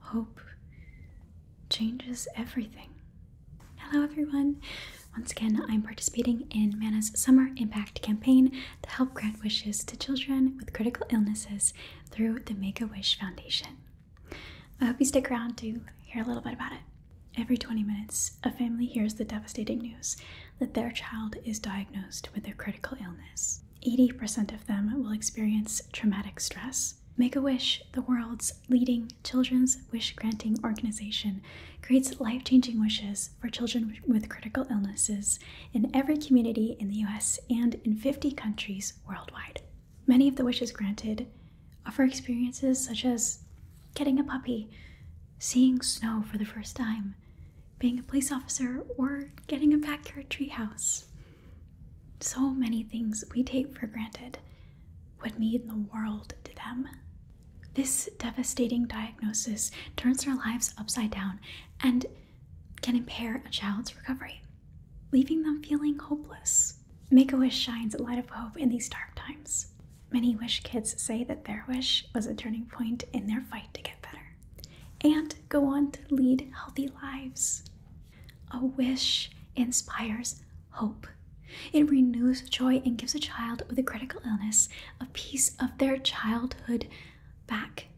Hope changes everything. Hello, everyone. Once again, I'm participating in MANA's Summer Impact Campaign to help grant wishes to children with critical illnesses through the Make a Wish Foundation. I hope you stick around to hear a little bit about it. Every 20 minutes, a family hears the devastating news that their child is diagnosed with a critical illness. 80% of them will experience traumatic stress Make a Wish, the world's leading children's wish granting organization, creates life changing wishes for children with critical illnesses in every community in the US and in 50 countries worldwide. Many of the wishes granted offer experiences such as getting a puppy, seeing snow for the first time, being a police officer, or getting a backyard treehouse. So many things we take for granted would mean the world to them. This devastating diagnosis turns their lives upside down and can impair a child's recovery, leaving them feeling hopeless. Make a Wish shines a light of hope in these dark times. Many Wish kids say that their wish was a turning point in their fight to get better and go on to lead healthy lives. A wish inspires hope. It renews joy and gives a child with a critical illness a piece of their childhood back.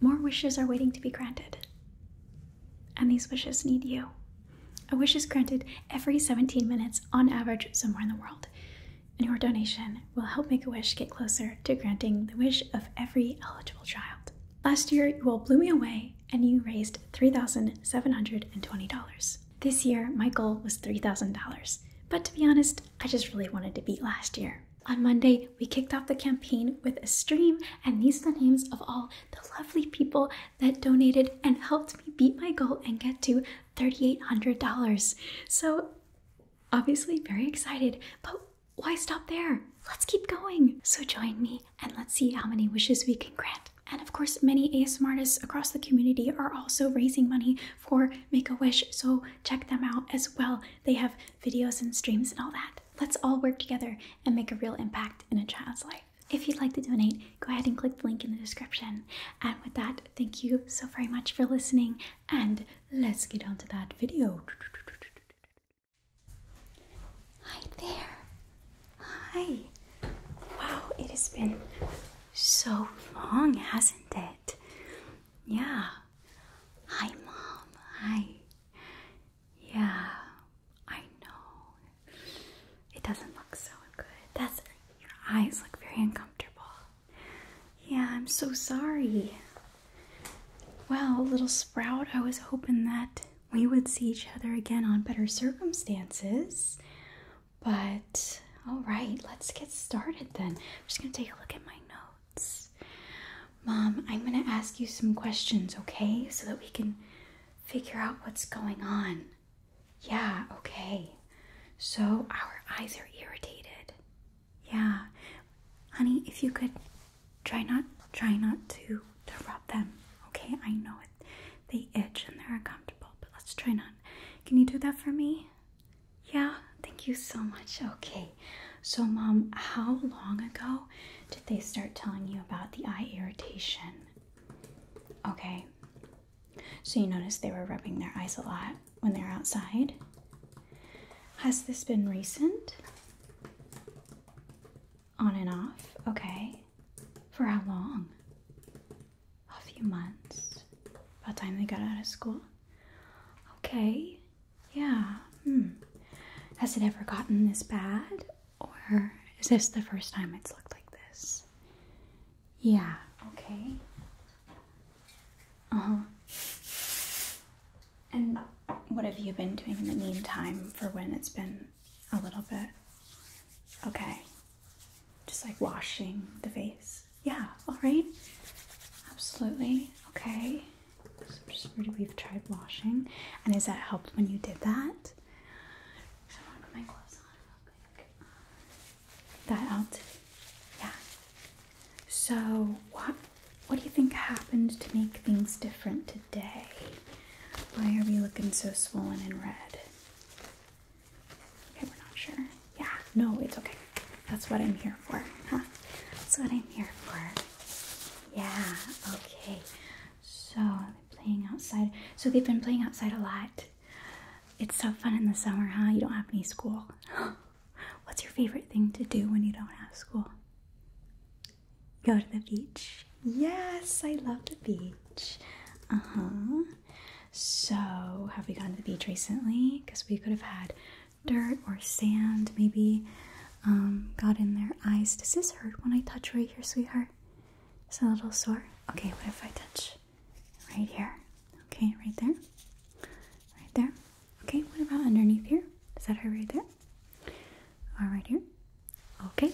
More wishes are waiting to be granted. And these wishes need you. A wish is granted every 17 minutes on average somewhere in the world. And your donation will help Make a Wish get closer to granting the wish of every eligible child. Last year, you all blew me away and you raised $3,720. This year, my goal was $3,000, but to be honest, I just really wanted to beat last year. On Monday, we kicked off the campaign with a stream, and these are the names of all the lovely people that donated and helped me beat my goal and get to $3,800. So, obviously, very excited, but why stop there? Let's keep going. So join me and let's see how many wishes we can grant. And of course, many ASM artists across the community are also raising money for Make a Wish, so check them out as well. They have videos and streams and all that. Let's all work together and make a real impact in a child's life. If you'd like to donate, go ahead and click the link in the description. And with that, thank you so very much for listening, and let's get on to that video. Hi there. Hi. Wow, it has been so long, hasn't it? Yeah. Hi, Mom. Hi. Yeah, I know. It doesn't look so good. That's your eyes look very uncomfortable. Yeah, I'm so sorry. Well, little Sprout, I was hoping that we would see each other again on better circumstances. But all right, let's get started then. I'm just going to take a look at my notes. Mom, I'm going to ask you some questions, okay? So that we can figure out what's going on. Yeah, okay. So our eyes are irritated. Yeah. Honey, if you could try not try not to to rub them. Okay, I know it they itch and they're uncomfortable, but let's try not. Can you do that for me? Yeah, thank you so much. Okay. So mom, how long ago did they start telling you about the eye irritation? Okay. So you noticed they were rubbing their eyes a lot when they are outside? Has this been recent? On and off? Okay. For how long? A few months. About time they got out of school? Okay. Yeah. Hmm. Has it ever gotten this bad? Or is this the first time it's looked like this? Yeah. Okay. Uh huh. And what have you been doing in the meantime for when it's been a little bit? Okay. Just like washing the face. Yeah, all right. Absolutely. Okay. So just we've tried washing. And has that helped when you did that? That helped? Yeah. So what what do you think happened to make things different today? Why are we looking so swollen and red? Okay, we're not sure. Yeah, no, it's okay. That's what I'm here for, huh? That's what I'm here for. Yeah, okay. So, playing outside. So, they've been playing outside a lot. It's so fun in the summer, huh? You don't have any school. What's your favorite thing to do when you don't have school? Go to the beach. Yes, I love the beach. Uh huh. So, have we gone to the beach recently? Because we could have had dirt or sand, maybe um, got in their eyes. Does this hurt when I touch right here, sweetheart? It's a little sore. Okay, what if I touch right here? Okay, right there, right there. Okay, what about underneath here? Is that her right there? All right, here. Okay.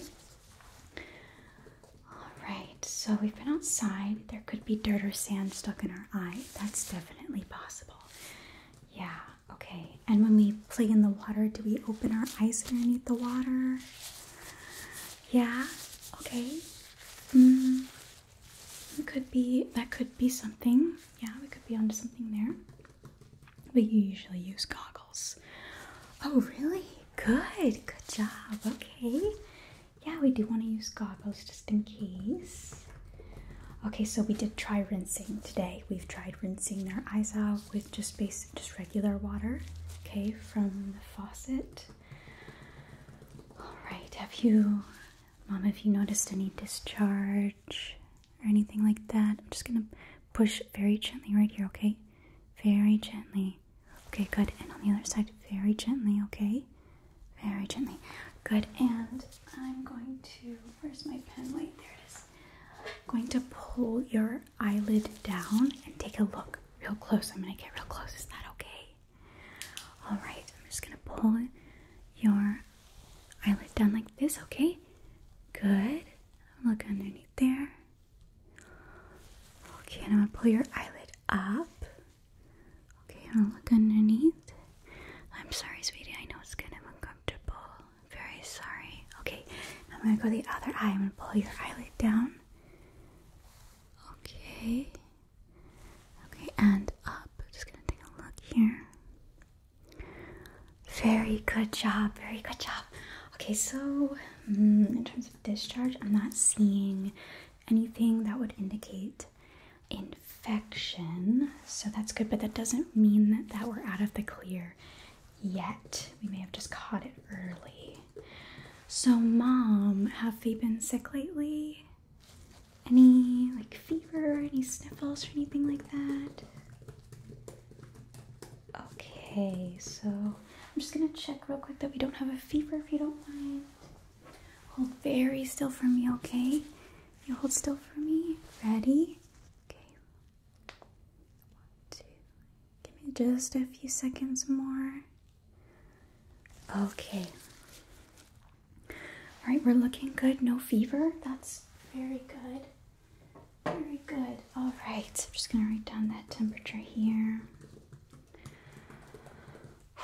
All right, so we've been outside. There could be dirt or sand stuck in our eye. That's definitely possible. Yeah, okay. And when we play in the water, do we open our eyes underneath the water? Yeah, okay. Mm, could be, that could be something. Yeah, we could be onto something there. But you usually use goggles. Oh, really? Good. Good job. Okay. Yeah, we do want to use goggles just in case. Okay, so we did try rinsing today. We've tried rinsing their eyes out with just basic, just regular water, okay, from the faucet. All right, have you, Mom, have you noticed any discharge or anything like that. I'm just gonna push very gently right here, okay? Very gently. Okay, good. And on the other side, very gently, okay? Very gently. Good. And I'm going to, where's my pen? Wait, there it going to pull your eyelid down and take a look real close. I'm gonna get real close. Is that okay? All right, I'm just gonna pull your eyelid down like this, okay? Good. Look underneath there. Okay, and I'm gonna pull your eyelid up. Okay, I'm gonna look underneath. I'm sorry, sweetie. I know it's kind of uncomfortable. I'm very sorry. Okay, I'm gonna go the other eye. I'm gonna pull your eyelid down. Okay. Okay, and up. Just gonna take a look here. Very good job. Very good job. Okay, so mm, in terms of discharge, I'm not seeing anything that would indicate infection. So that's good, but that doesn't mean that we're out of the clear yet. We may have just caught it early. So, mom, have they been sick lately? any like fever or any sniffles or anything like that? Okay, so I'm just gonna check real quick that we don't have a fever if you don't mind. Hold very still for me, okay? You hold still for me. Ready? Okay. One, two. Give me just a few seconds more. Okay. All right, we're looking good. No fever. That's very good. Very good. All right. I'm just going to write down that temperature here.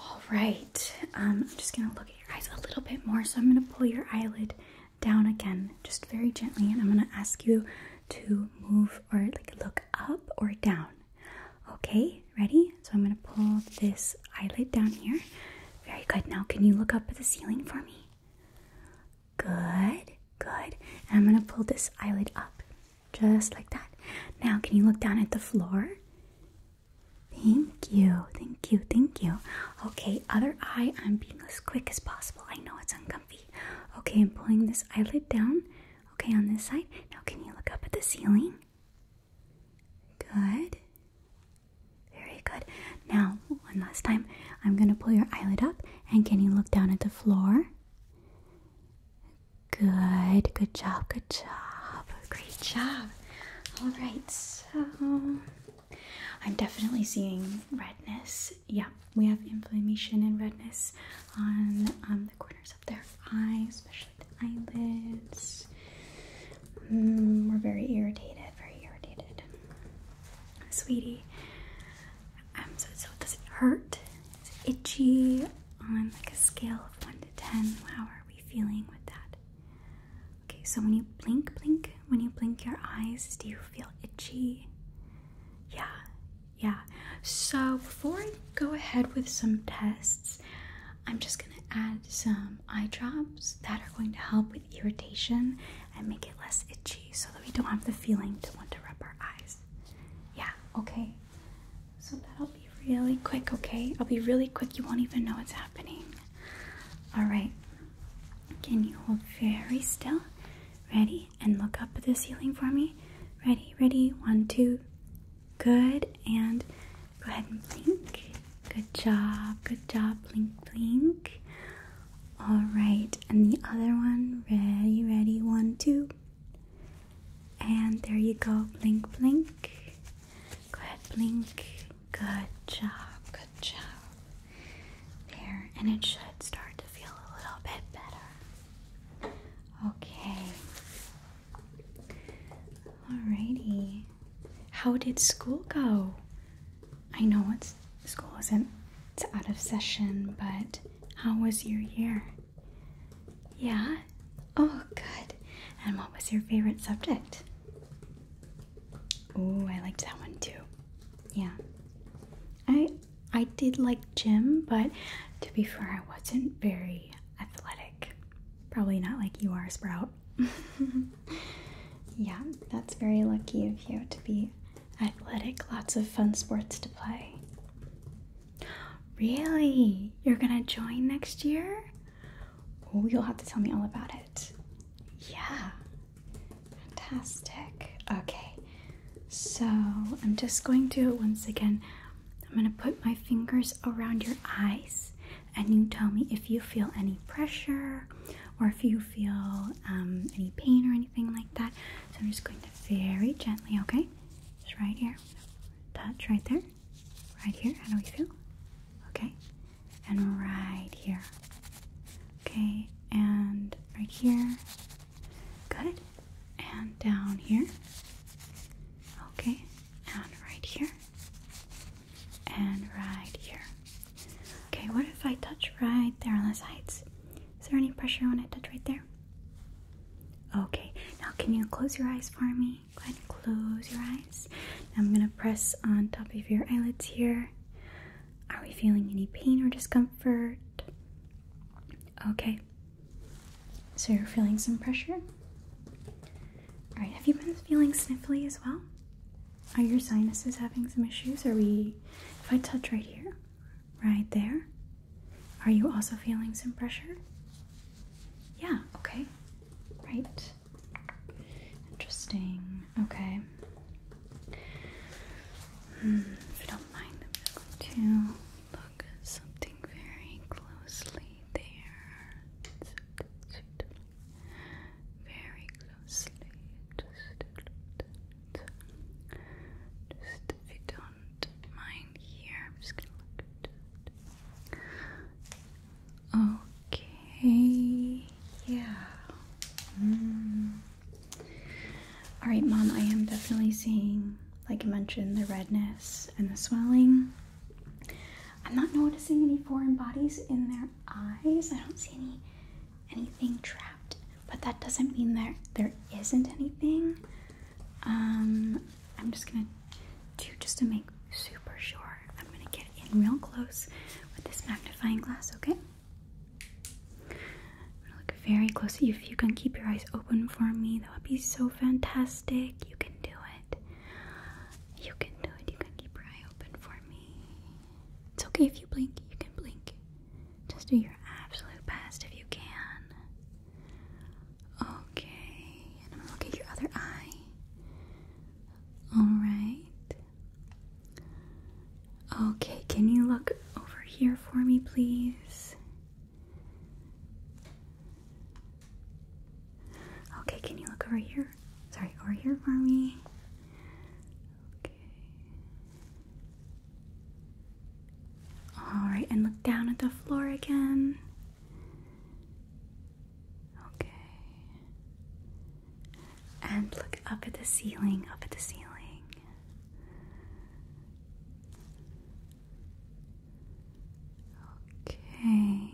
All right. Um, I'm just going to look at your eyes a little bit more. So I'm going to pull your eyelid down again, just very gently, and I'm going to ask you to move or like look up or down. Okay, ready? So I'm going to pull this eyelid down here. Very good. Now, can you look up at the ceiling for me? Good, good. And I'm going to pull this eyelid up just like that. Now, can you look down at the floor? Thank you, thank you, thank you. Okay, other eye, I'm being as quick as possible. I know it's uncomfortable. Okay, I'm pulling this eyelid down. Okay, on this side. Now, can you look up at the ceiling? Good, very good. Now, one last time, I'm going to pull your eyelid up and can you look down at the floor? Good, good job, good job, great job. All right, so I'm definitely seeing redness. Yeah, we have inflammation and redness on the corners of their eyes, especially the eyelids. Mm, we're very irritated, very irritated. Sweetie, um, so, so does it hurt? Is it itchy on like a scale of 1 to 10? How are we feeling with that? Okay, so when you blink, blink, when you blink your eyes, do you feel itchy? Yeah, yeah. So before I go ahead with some tests, I'm just gonna add some um, eye drops that are going to help with irritation and make it less itchy so that we don't have the feeling to want to rub our eyes. Yeah, okay. So that'll be really quick, okay? I'll be really quick. You won't even know what's happening. All right. Can you hold very still? Ready? And look up at the ceiling for me. Ready, ready. One, two. Good. And Go ahead and blink. Good job, good job. Blink, blink. All right, and the other one. Ready, ready. One, two. And there you go. Blink, blink. Go ahead, blink. Good job, good job. There, and it should start to feel a little bit better. Okay. Alrighty. How did school go? I know it's school isn't it's out of session, but how was your year? Yeah? Oh good. And what was your favorite subject? Oh, I liked that one too. Yeah. I I did like gym, but to be fair, I wasn't very athletic. Probably not like you are, Sprout. yeah, that's very lucky of you to be athletic. Lots of fun sports to play. Really? You're gonna join next year? Oh, you'll have to tell me all about it. Yeah. Fantastic. Okay. So I'm just going to do it once again, I'm gonna put my fingers around your eyes and you tell me if you feel any pressure or if you feel um, any pain or anything like that. So I'm just going to very gently, okay? Just right here. Touch right there. Right here. How do we feel? Okay. And right here. Okay. And right here. Good. And down here. Okay. And right here and right here. Okay, what if I touch right there on the sides? Is there any pressure when I touch right there? Okay, now can you close your eyes for me? Go ahead close your eyes. I'm gonna press on top of your eyelids here. Are we feeling any pain or discomfort? Okay, so you're feeling some pressure? Alright, have you been feeling sniffly as well? Are your sinuses having some issues? Are we, if I touch right here, right there, are you also feeling some pressure? Yeah, okay, right. Interesting, okay. Hmm, if you don't mind, I'm going to look something very closely there very closely. Just, if you don't mind here, I'm just gonna look at it. Okay, yeah. Mm. All right, mom. I am definitely seeing, like I mentioned, the redness and the swelling. I'm not noticing any foreign bodies in there eyes. I don't see any anything trapped, but that doesn't mean that there isn't anything. Um, I'm just gonna do just to make super sure. I'm gonna get in real close with this magnifying glass, okay? look very close If you can keep your eyes open for me, that would be so fantastic. You can do it you can do it. You can keep your eye open for me. It's okay if you blink. You can blink. Just do your absolute best if you can. Okay. And I'm going at your other eye. Alright. Okay. Can you look over here for me, please? Okay, can you look over here? Sorry, over here for me. Okay. Alright, and look down at the floor again. Okay. And look up at the ceiling, up at the ceiling. Okay.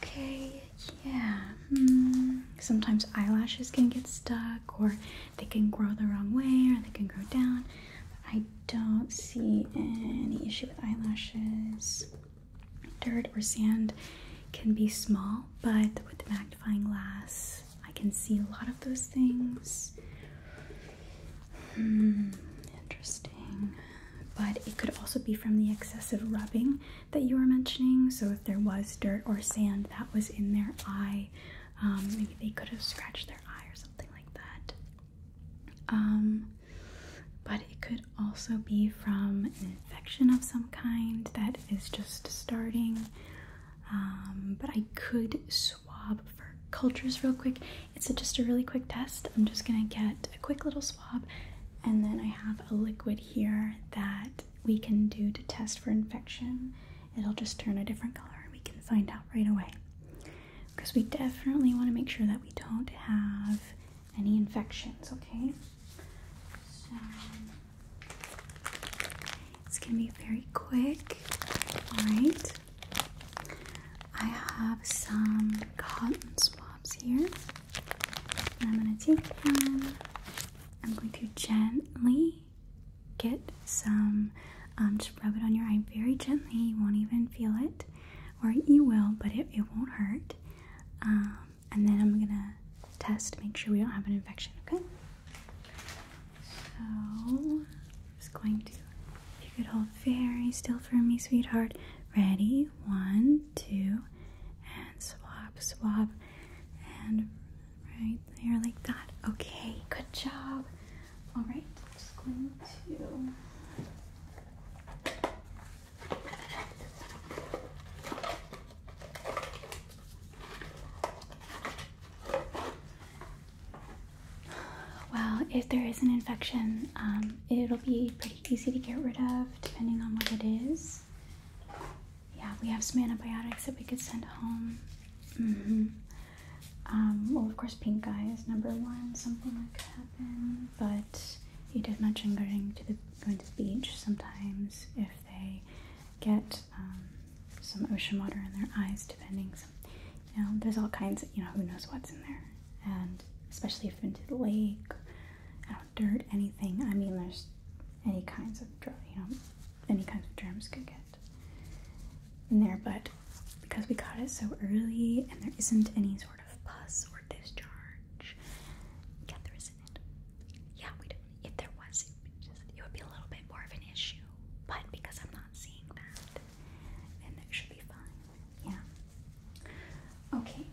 Okay, yeah. Hmm. Sometimes eyelashes can get stuck, or they can grow the wrong way, or they can grow down. I don't see any issue with eyelashes. Dirt or sand can be small, but with the magnifying glass, I can see a lot of those things. Hmm, interesting but it could also be from the excessive rubbing that you were mentioning. So, if there was dirt or sand that was in their eye, um, maybe they could have scratched their eye or something like that. Um, but it could also be from an infection of some kind that is just starting. Um, but I could swab for cultures real quick. It's just a really quick test. I'm just gonna get a quick little and then I have a liquid here that we can do to test for infection. It'll just turn a different color and we can find out right away. Because we definitely want to make sure that we don't have any infections, okay? So it's gonna be very quick. Alright. I have some cotton swabs here. I'm gonna take I'm going to gently get some. Um, just rub it on your eye very gently. You won't even feel it, or you will, but it, it won't hurt. Um, and then I'm gonna test make sure we don't have an infection. Okay. So I'm just going to. If you could hold very still for me, sweetheart. Ready? One, two and swap, swap and right there like that. Okay, good job. All just going to. Well, if there is an infection, um, it'll be pretty easy to get rid of depending on what it is. Yeah, we have some antibiotics that we could send home. Mm -hmm. well, of course, pink eye is number one, something that could happen. But you did mention going to the going to the beach sometimes if they get um, some ocean water in their eyes, depending. Some, you know, there's all kinds you know who knows what's in there, and especially if into the lake I don't dirt anything. I mean, there's any kinds of you know, any kinds of germs could get in there, but because we caught it so early and there isn't any sort of pus or discharge, yeah, there isn't. Yeah, we don't. If there was, it would, it would be a little bit more of an issue, but because I'm not seeing that, then it should be fine. Yeah. Okay.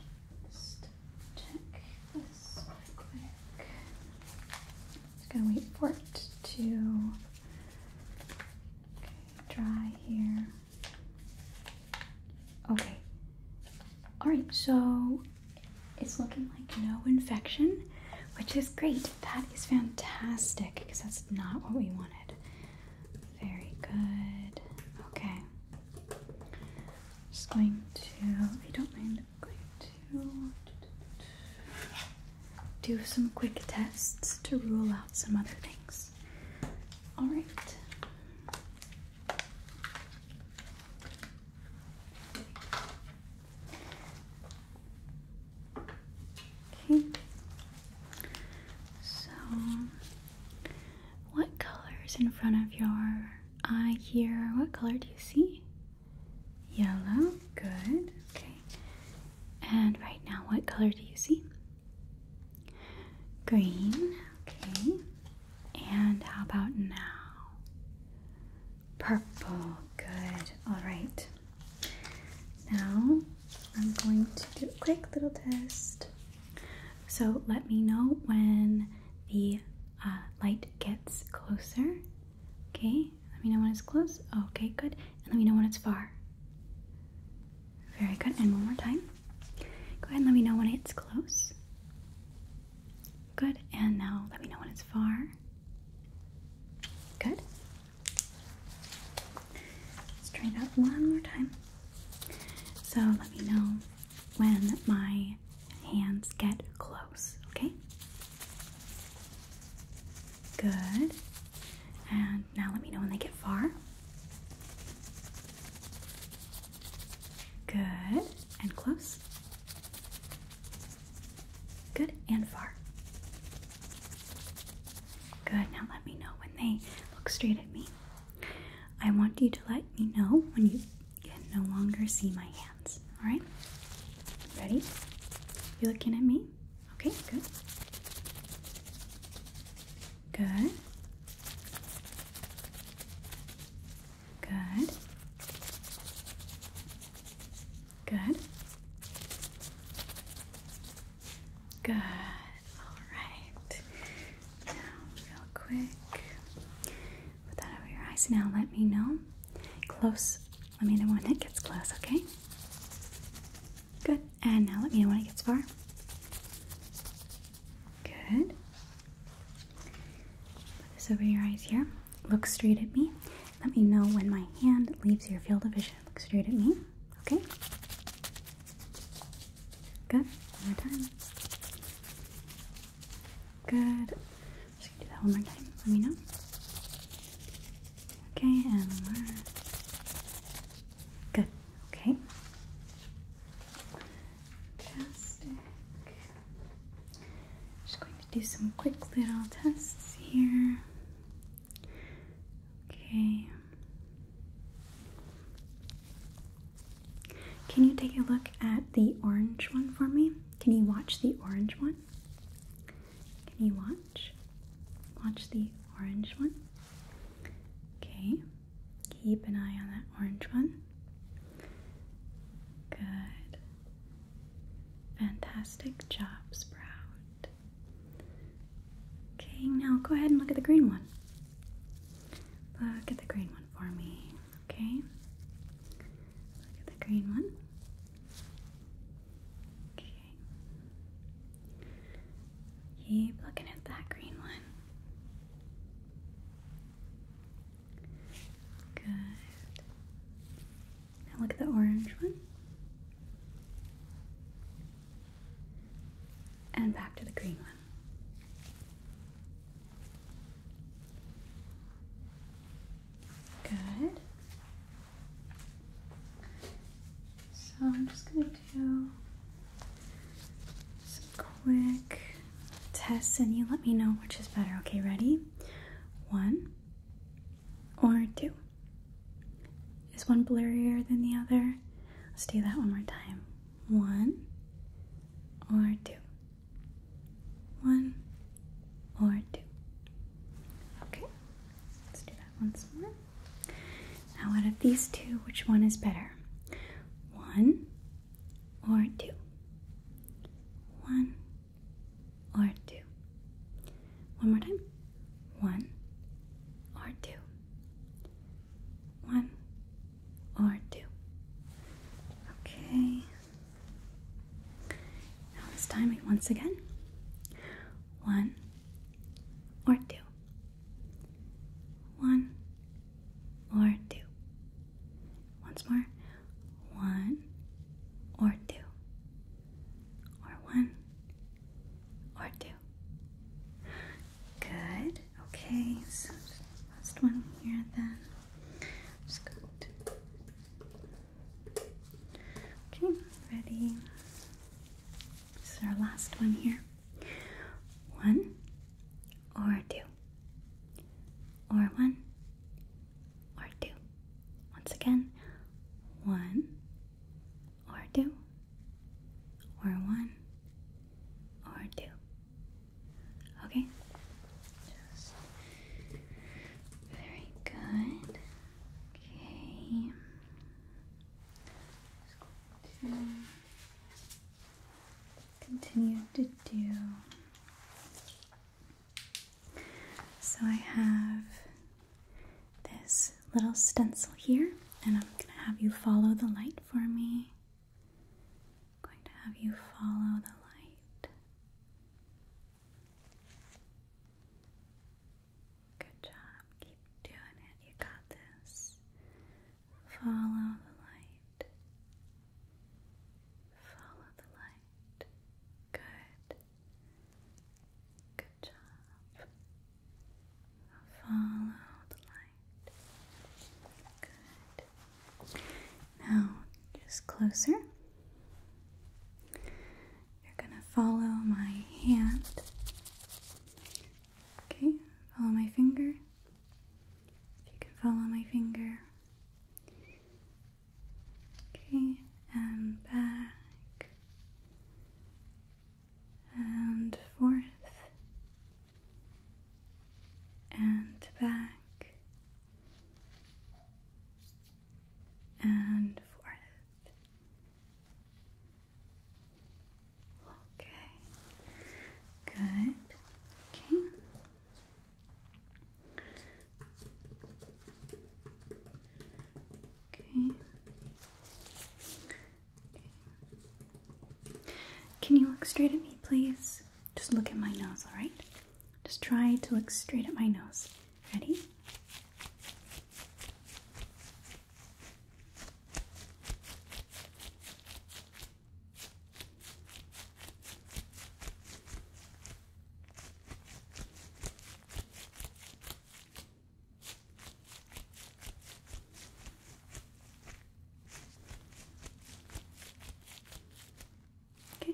Just check this real quick. Just gonna wait for it to dry here. Okay. Alright, so it's looking like no infection, which is great. That is fantastic because that's not what we wanted. Very good. Okay. Just going to, I don't mind, I'm going to do some quick tests to rule out some other things. All right. Okay. So what color is in front of your eye here? What color do you see? Yellow. Good. Okay. And right now, what color do you see? Green. Okay. And how about now? Purple. Good. All right. Now, I'm going to do a quick little test so let me know when the uh, light gets closer. Okay, let me know when it's close. Okay, good. And let me know when it's far. Very good. And one more time. Go ahead and let me know when it's close. Good. And now let me know when it's far. Good. Let's try that one more time. So let me know when my hands get close, okay? Good. And now let me know when they get far. Good. And close. Good and far. Good. Now let me know when they look straight at me. I want you to let me know when you can no longer see my hands. Alright? Ready? You looking at me? Okay, good. Good. Good. Good. Good. All right. Now, real quick, put that over your eyes. Now, let me know. Close. Let me know when it gets close, okay? Good. And now let me know when it gets far. Good. Put this over your eyes here. Look straight at me. Let me know when my hand leaves your field of vision. Look straight at me, okay? Good. One more time. Good. just gonna do that one more time. Let me know. Okay, and one more. Good. Okay. Fantastic. Just going to do some quick little tests here. Okay. Can you take a look at the orange one for me? Can you watch the orange one? Can you watch? Watch the orange one. Okay. Keep an eye on that orange one. Good. Fantastic job, Sprout. Okay, now go ahead and look at the green one. Look at the green one for me, okay? Look at the green one. Okay. Keep looking at that green one. Good. Now look at the orange one. And back to the green one. Good. So I'm just going to do some quick tests and you let me know which is better. Okay, ready? One or two? Is one blurrier than the other? Let's do that one more time one or two. One or two. Okay, let's do that once more. Now, out of these two, which one is better? One or two? One or two? One more time. One or two. One or two. Okay. Now it's time it once again. One or two. One or two. Once more. One or two. Or one or two. Good. Okay, so last one here then. Just go to... Okay, ready. This is our last one here. One or two. Or one or two. Once again, one or two, or one, or two. Okay? Just very good. Okay. Just going to continue to do. So I have this little stencil here, and I'm going to have you follow the light for me. going to have you follow the light. Good job. Keep doing it. You got this. Follow the light. Follow the light. Good. Good job. Follow the light. Good. Now, just closer. You're going to follow my hand. Okay, follow my finger. If you can follow my finger. Okay, and back and forth and back and forth. Okay, good. Okay. Okay. Can you look straight at me, please? Just look at my nose, alright? Just try to look straight at my nose. Ready? Okay.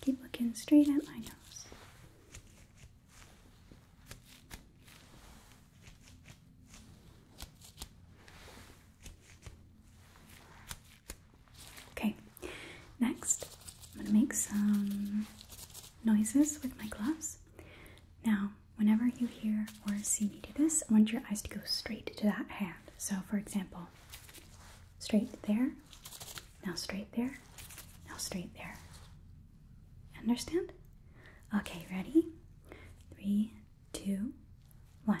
Keep looking straight at my nose. Okay, next I'm going to make some noises with my gloves. Now, whenever you hear or see me do this, I want your eyes to go straight to that hand. So, for example, straight there, now straight there, now straight there. Understand? Okay, ready? Three, two, one.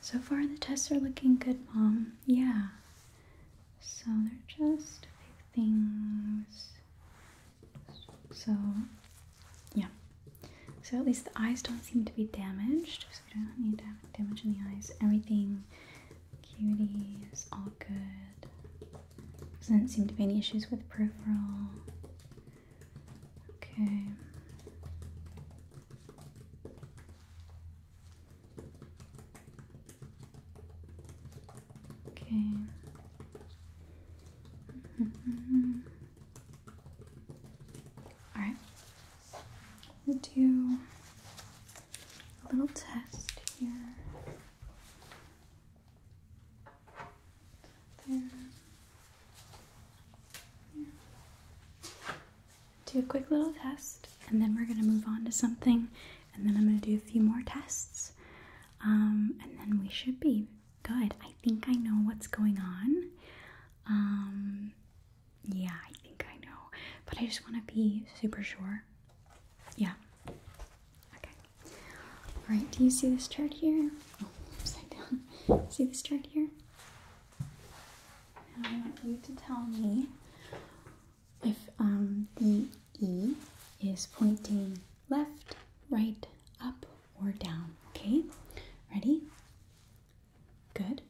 So far, the tests are looking good, Mom. Yeah. So they're just a few things. So, yeah. So at least the eyes don't seem to be damaged. So we don't need damage in the eyes. Everything Cuties, all good. Doesn't seem to be any issues with peripheral. Okay. Okay. all do a little test here. Do a quick little test, and then we're going to move on to something, and then I'm going to do a few more tests, um, and then we should be good. I think I know what's going on. Um, yeah, I think I know, but I just want to be super sure yeah. Okay. All right. Do you see this chart here? Oh, upside down. See this chart here? I want you to tell me if um, the E is pointing left, right, up, or down. Okay. Ready? Good.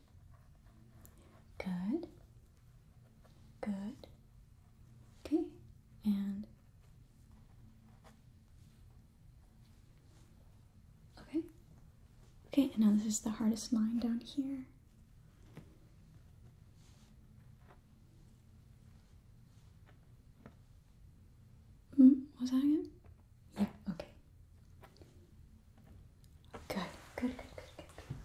Good. Good. Okay, and okay. Okay, and now this is the hardest line down here. Mm, was that it? Yeah, okay. Good, good, good, good, good.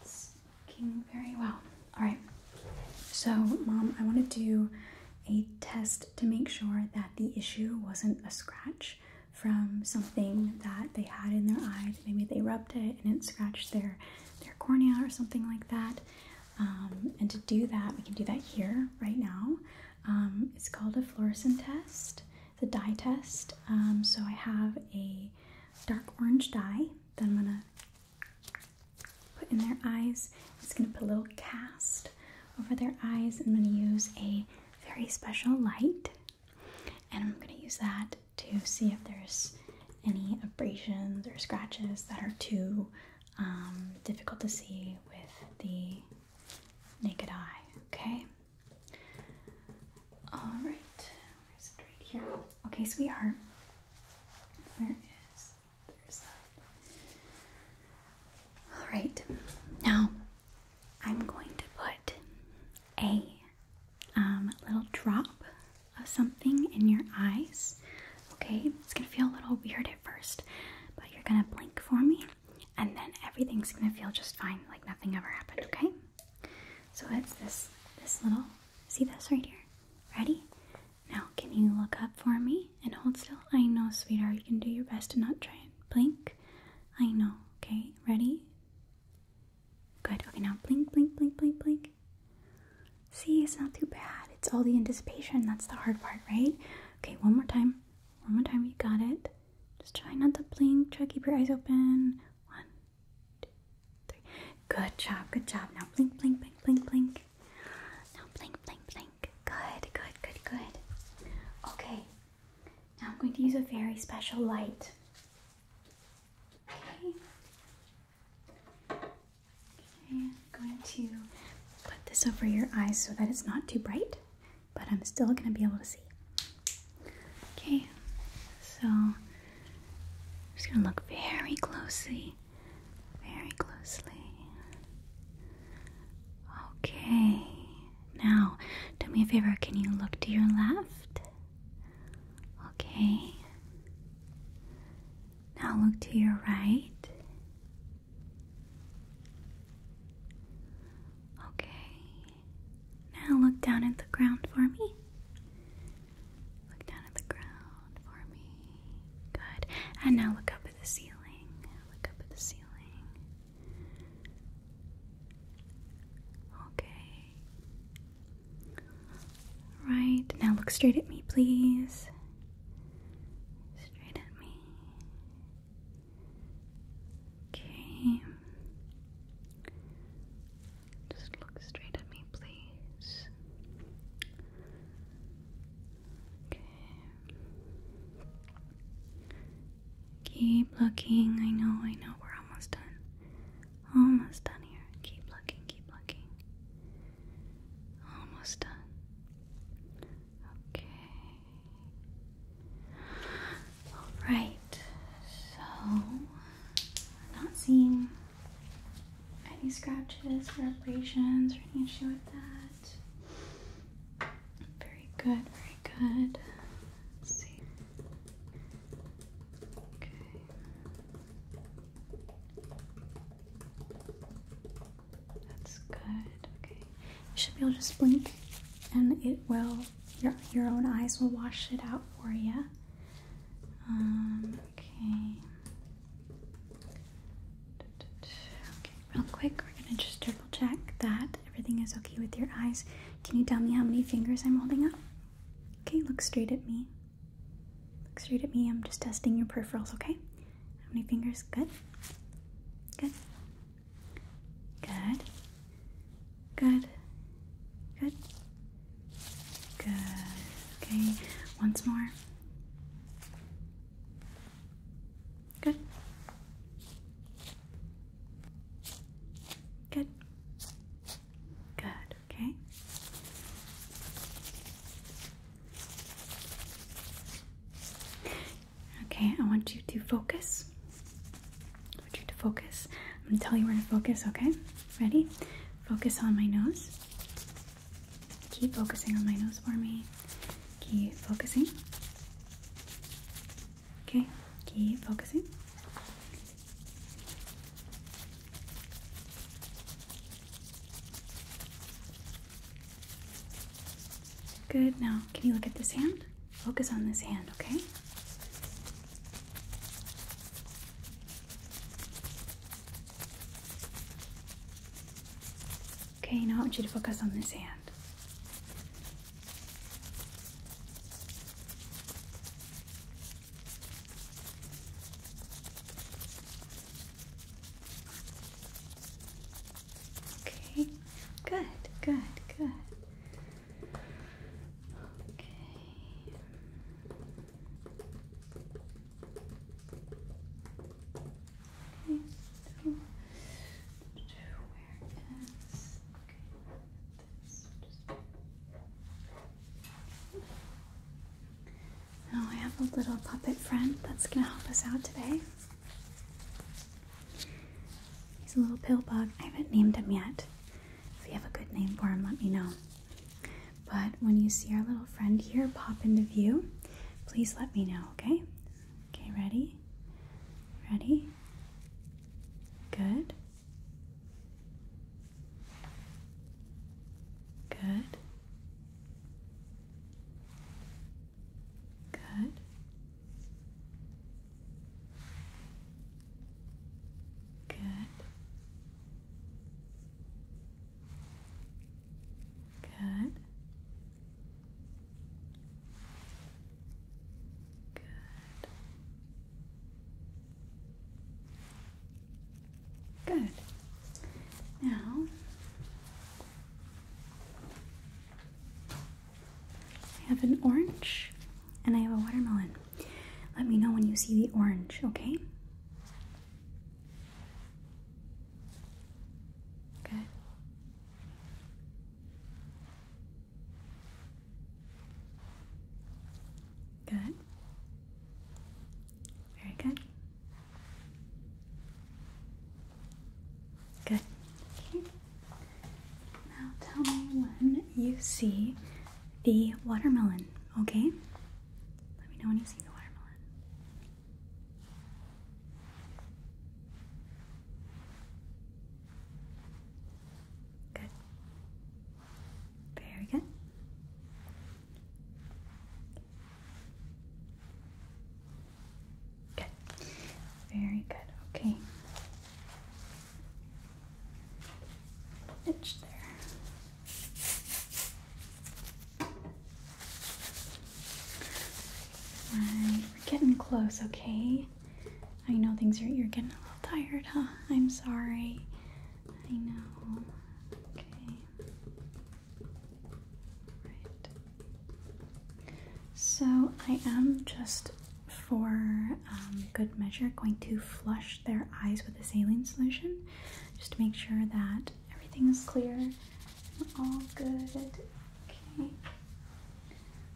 That's looking very well. All right. So, Mom, I want to do a test to make sure that the issue wasn't a scratch from something that they had in their eye. Maybe they rubbed it and it scratched their their cornea or something like that. Um, and to do that, we can do that here right now. Um, it's called a fluorescent test, It's a dye test. Um, so I have a dark orange dye that I'm gonna put in their eyes. It's gonna put a little cast over their eyes. I'm gonna use a very special light and I'm gonna use that to see if there's any abrasions or scratches that are too um, difficult to see with the naked eye. Okay, all right, Okay, sweetheart. Where is there's All right, now I'm going to put a um, little drop of something in your eyes. Okay, it's gonna feel a little weird at first, but you're gonna blink for me, and then everything's gonna feel just fine, like nothing ever happened. Okay. So it's this this little see this right here. Ready? Now can you look up for me and hold still? I know, sweetheart, you can do your best to not try and blink. I know. Okay, ready? Good. Okay, now blink, blink, blink, blink, blink. See, it's not too bad. It's all the anticipation. That's the hard part, right? Okay, one more time. One more time. You got it. Just try not to blink. Try to keep your eyes open. One, Good job, good job. Now blink, blink, blink, blink, blink. Now blink, blink, blink. Good, good, good, good. Okay, now I'm going to use a very special light. Okay. Okay, I'm going to put this over your eyes so that it's not too bright, but I'm still going to be able to see. Okay, so I'm just gonna look very closely, very closely. Okay, now do me a favor, can you look to your left? Okay, now look to your right. Okay, now look down at the ground for me. Look down at the ground for me. Good. And now look up at the ceiling. Look up at the ceiling. Okay. Right. Now look straight at me, please. Straight at me. Okay. Just look straight at me, please. Okay. Keep looking. I know, I know, we're almost done. Almost done here. Keep looking, keep looking. Almost done. Okay. All right, so not seeing any scratches or abrasions or any issue with that. Very good, very good. Let's see. Okay. That's good. Okay. You should be able to just blink and it will your your own eyes will wash it out for you. Um, okay. Okay, real quick, we're gonna just triple check that everything is okay with your eyes. Can you tell me how many fingers I'm holding up? Okay, look straight at me. Look straight at me. I'm just testing your peripherals, okay? How many fingers? Good. Good. Good. Good. Good. Good. Okay. Once more. Good. Good. Good. Okay. Okay, I want you to focus want you to focus. I'm gonna tell you where to focus, okay? Ready? Focus on my nose. Keep focusing on my nose for me. Keep focusing. Okay, keep focusing. Good. Now, can you look at this hand? Focus on this hand, okay? Okay, now I want you to focus on this hand. Okay, good, good, good. Okay, so where is okay, this just now I have a little puppet friend that's gonna help us out today. He's a little pill bug. I haven't named him yet. If you have a good name for him, let me know. But when you see our little friend here pop into view, please let me know, okay? Okay, ready? Ready? Good. Good. Good. Good. Good. Good. Good. Now I have an orange and I have a watermelon. Let me know when you see the orange, okay? Good. Good. Very good. Good. Okay. Now tell me when you see the watermelon, okay? Let me know when you see the watermelon. Good. Very good. Good. Very good. Okay we're getting close, okay? I know things are you're getting a little tired, huh? I'm sorry. I know. Okay. Right. So I am just for um, good measure going to flush their eyes with a saline solution just to make sure that everything is clear all good. Okay.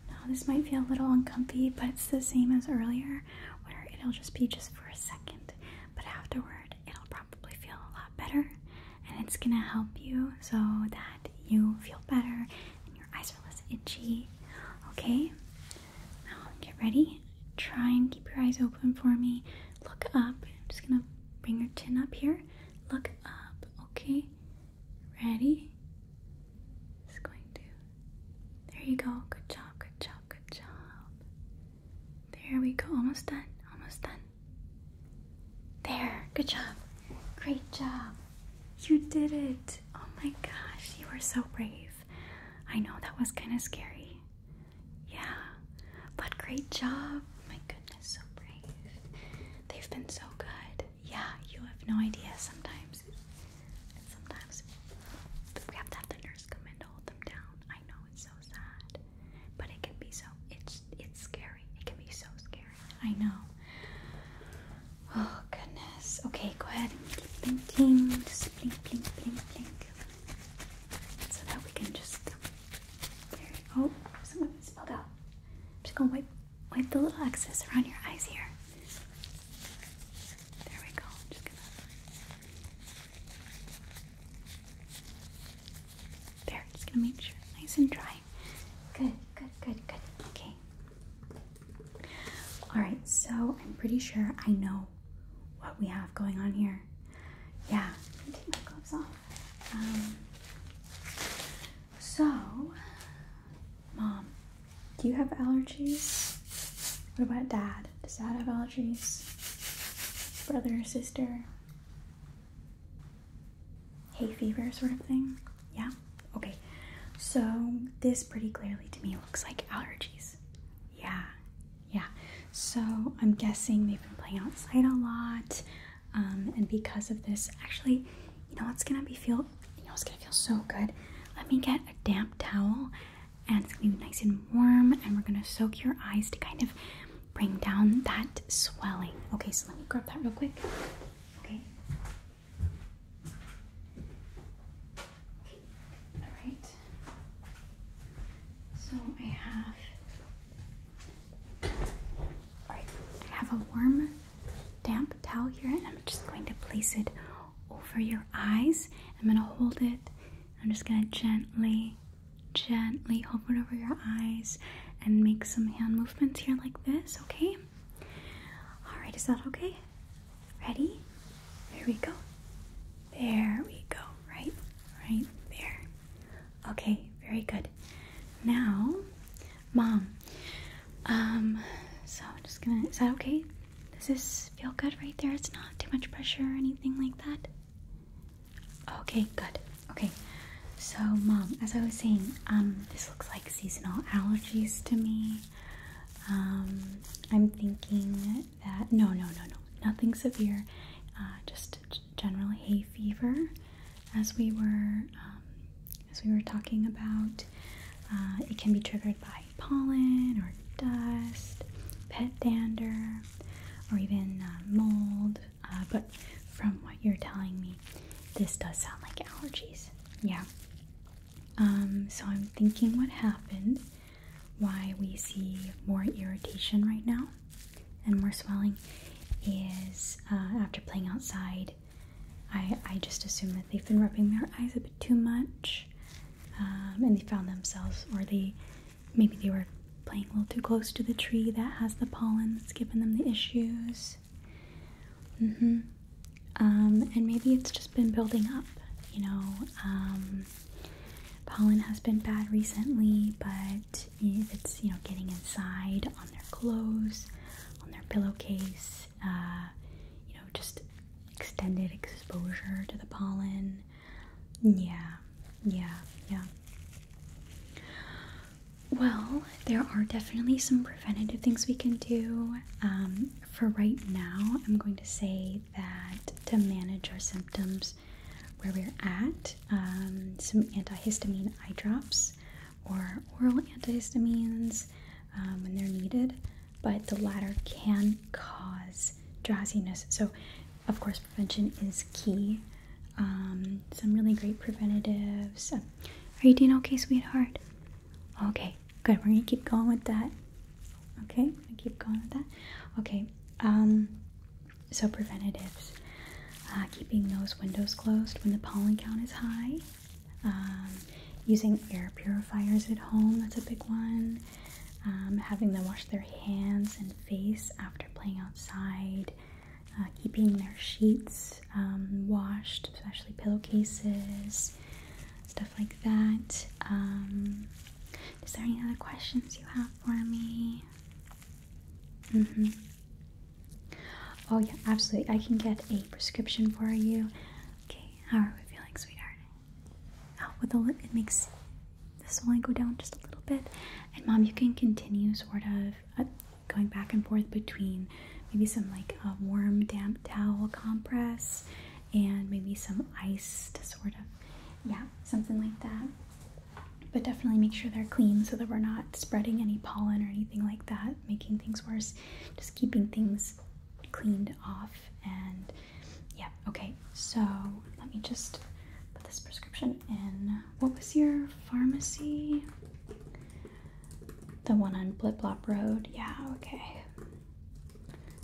Now, this might feel a little uncomfy, but it's the same as earlier where it'll just be just for a second, but afterward, it'll probably feel a lot better and it's gonna help you so that you feel better your eyes are less itchy. Okay? Now get ready. Try and keep your eyes open for me. Look up. just gonna bring your chin up here. Look up, okay? Ready? Just going to. There you go. Good job, good job, good job. There we go. Almost done, almost done. There, good job. Great job. You did it. Oh my gosh, you were so brave. I know that was kind of scary. Yeah, but great job. my goodness, so brave. They've been so good. Yeah, you have no idea sometimes. sometimes we have to have the nurse come in to hold them down. I know it's so sad, but it can be so, it's, it's scary. It can be so scary. I know. Oh goodness. Okay, go ahead and blink, blinking. Just blink, blink, blink, blink. So that we can just um, there. Oh, some of spilled out. I'm just gonna wipe wipe the little excess around your eyes here. There we go. just gonna There, just gonna make sure nice and dry. Good, good, good, good. Okay, Alright, so I'm pretty sure I know what we have going on here. Yeah, I'm take my gloves off. Um, so, mom, do you have allergies? What about dad? Does dad have allergies? Brother, or sister? Hay fever, sort of thing? Yeah? Okay. So this pretty clearly to me looks like allergies. Yeah. Yeah. So I'm guessing they've been playing outside a lot. Um, and because of this, actually, you know what's gonna be feel you know it's gonna feel so good. Let me get a damp towel and it's gonna be nice and warm and we're gonna soak your eyes to kind of bring down that swelling. Okay, so let me grab that real quick. Okay. All right. So I have. All right. I have a warm, damp towel here, and I'm just going to place it over your eyes. I'm going to hold it. I'm just going to gently, gently hold it over your eyes and make some hand movements here like this, okay? All right, is that okay? Ready? There we go. There we go. Right, right there. Okay, very good. Now, mom. Um, so I'm just gonna. Is that okay? Does this feel good right there? It's not too much pressure or anything like that. Okay, good. Okay. So, mom, as I was saying, um, this looks like seasonal allergies to me. Um, I'm thinking that no, no, no, no, nothing severe. Uh, just general hay fever, as we were um, as we were talking about. Uh, it can be triggered by pollen or dust, pet dander, or even uh, mold. but from what you're telling me, this does sound like allergies. Yeah. Um, so I'm thinking what happened, why we see more irritation right now and more swelling is uh, after playing outside. I, I just assume that they've been rubbing their eyes a bit too much um, and they found themselves, or they maybe they were playing a little too close to the tree that has the pollen that's giving them the issues. Mm-hmm. Um, and maybe it's just been building up, you know. Um, pollen has been bad recently, but if it's you know getting inside on their clothes, on their pillowcase, uh, you know, just extended exposure to the pollen. Yeah, yeah, yeah. Well, there are definitely some preventative things we can do. Um, for right now, I'm going to say that to manage our symptoms where we're at, um, some antihistamine eye drops or oral antihistamines um, when they're needed, but the latter can cause drowsiness. So, of course, prevention is key. Um, some really great preventatives. Are you doing okay, sweetheart? Okay, Good, we're gonna keep going with that. Okay, we're gonna keep going with that. Okay, um, so preventatives. Uh, keeping those windows closed when the pollen count is high. Um, using air purifiers at home, that's a big one. Um, having them wash their hands and face after playing outside. Uh, keeping their sheets um, washed, especially pillowcases, stuff like that. Um, is there any other questions you have for me? Mm-hmm. Oh yeah, absolutely. I can get a prescription for you. Okay, how are we feeling, sweetheart? Oh, with a look, it makes this only go down just a little bit. And mom, you can continue sort of uh, going back and forth between maybe some like a warm damp towel compress and maybe some ice to sort of yeah something like that but definitely make sure they're clean so that we're not spreading any pollen or anything like that making things worse just keeping things cleaned off and yeah okay so let me just put this prescription in what was your pharmacy the one on Blip Blop Road. Yeah, okay.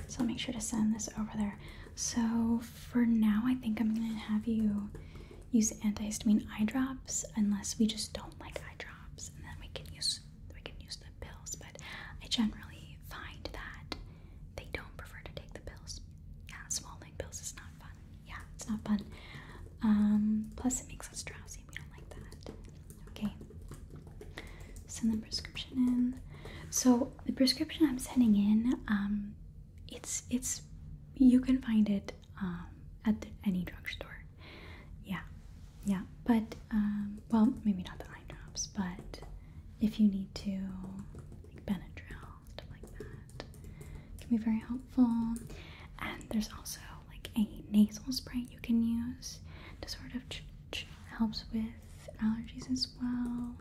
So make sure to send this over there. So for now, I think I'm gonna have you use antihistamine eye drops unless we just don't like eye drops, and then we can use we can use the pills. But I generally find that they don't prefer to take the pills. Yeah, swallowing pills is not fun. Yeah, it's not fun. Um, plus, it makes us drowsy we don't like that. Okay. Send the prescription in. So the prescription I'm sending in, um, it's it's you can find it um, at any drugstore. Yeah, yeah. But um, well, maybe not the eye drops, but if you need to, like Benadryl, stuff like that, can be very helpful. And there's also like a nasal spray you can use to sort of helps with allergies as well.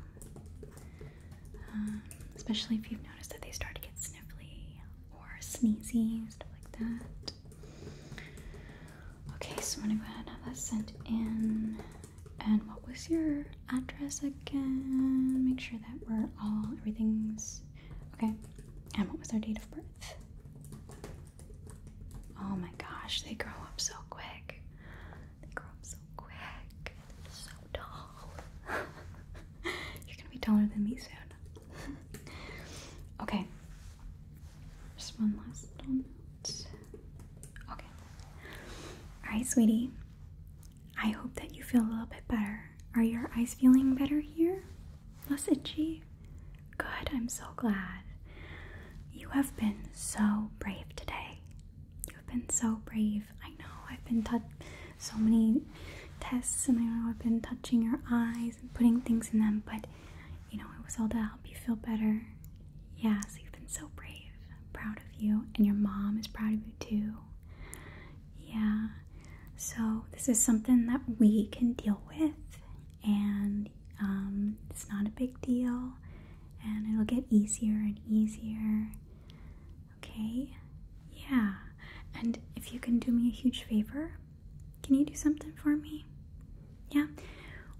Um, especially if you've noticed that they start to get sniffly or sneezy, stuff like that. Okay, so I'm gonna go ahead and have that sent in. And what was your address again? Make sure that we're all everything's okay. And what was our date of birth? Oh my gosh, they grow up so quick. They grow up so quick. They're so tall. You're gonna be taller than me soon. okay. Just one last little note. Okay. Alright, sweetie. I hope that you feel a little bit better. Are your eyes feeling better here? Was Good, I'm so glad. You have been so brave today. You've been so brave. I know I've been so many tests and I know I've been touching your eyes and putting things in them, but you know, it was all to help you feel better. Yeah, so you've been so brave. proud of you and your mom is proud of you too. Yeah. So this is something that we can deal with and um, it's not a big deal, and it'll get easier and easier. Okay? Yeah. And if you can do me a huge favor, can you do something for me? Yeah?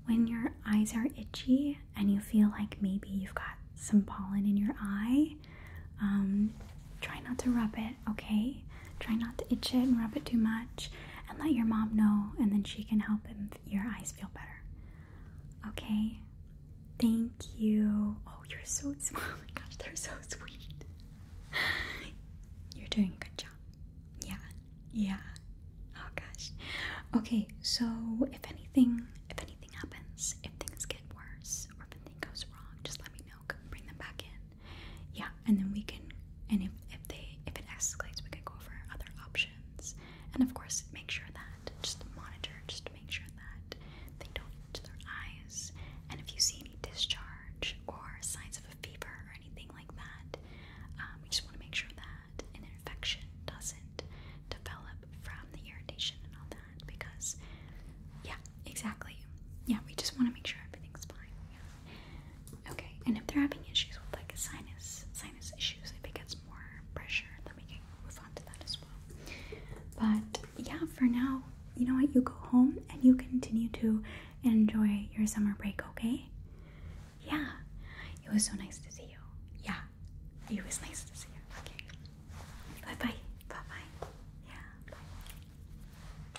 When your eyes are itchy and you feel like maybe you've got some pollen in your eye, um, try not to rub it, okay? Try not to itch it and rub it too much and let your mom know, and then she can help him, your eyes feel better. Okay? Thank you. Oh, you're so smart. Oh my gosh, they're so sweet. You're doing a good job. Yeah. Yeah. Oh gosh. Okay, so if anything if anything happens, if things get worse or if anything goes wrong, just let me know. Come bring them back in yeah, and then we can, and if, if they, if it escalates, we can go over other options. And of course, make sure that, just monitor, just make sure that they don't eat their eyes. And if you see any discharge or signs of a fever or anything like that, um, we just want to make sure that an infection doesn't develop from the irritation and all that because, yeah, exactly. Yeah, we just want to make sure everything's fine. Yeah. Okay, and if they're having issues with like sinus sinus issues, if it gets more pressure, then we can move on to that as well. But yeah, for now, you know what? You go home and you continue to enjoy your summer break, okay? Yeah, it was so nice to see you. Yeah, it was nice to see you. Okay, bye bye. Bye bye. Yeah, bye.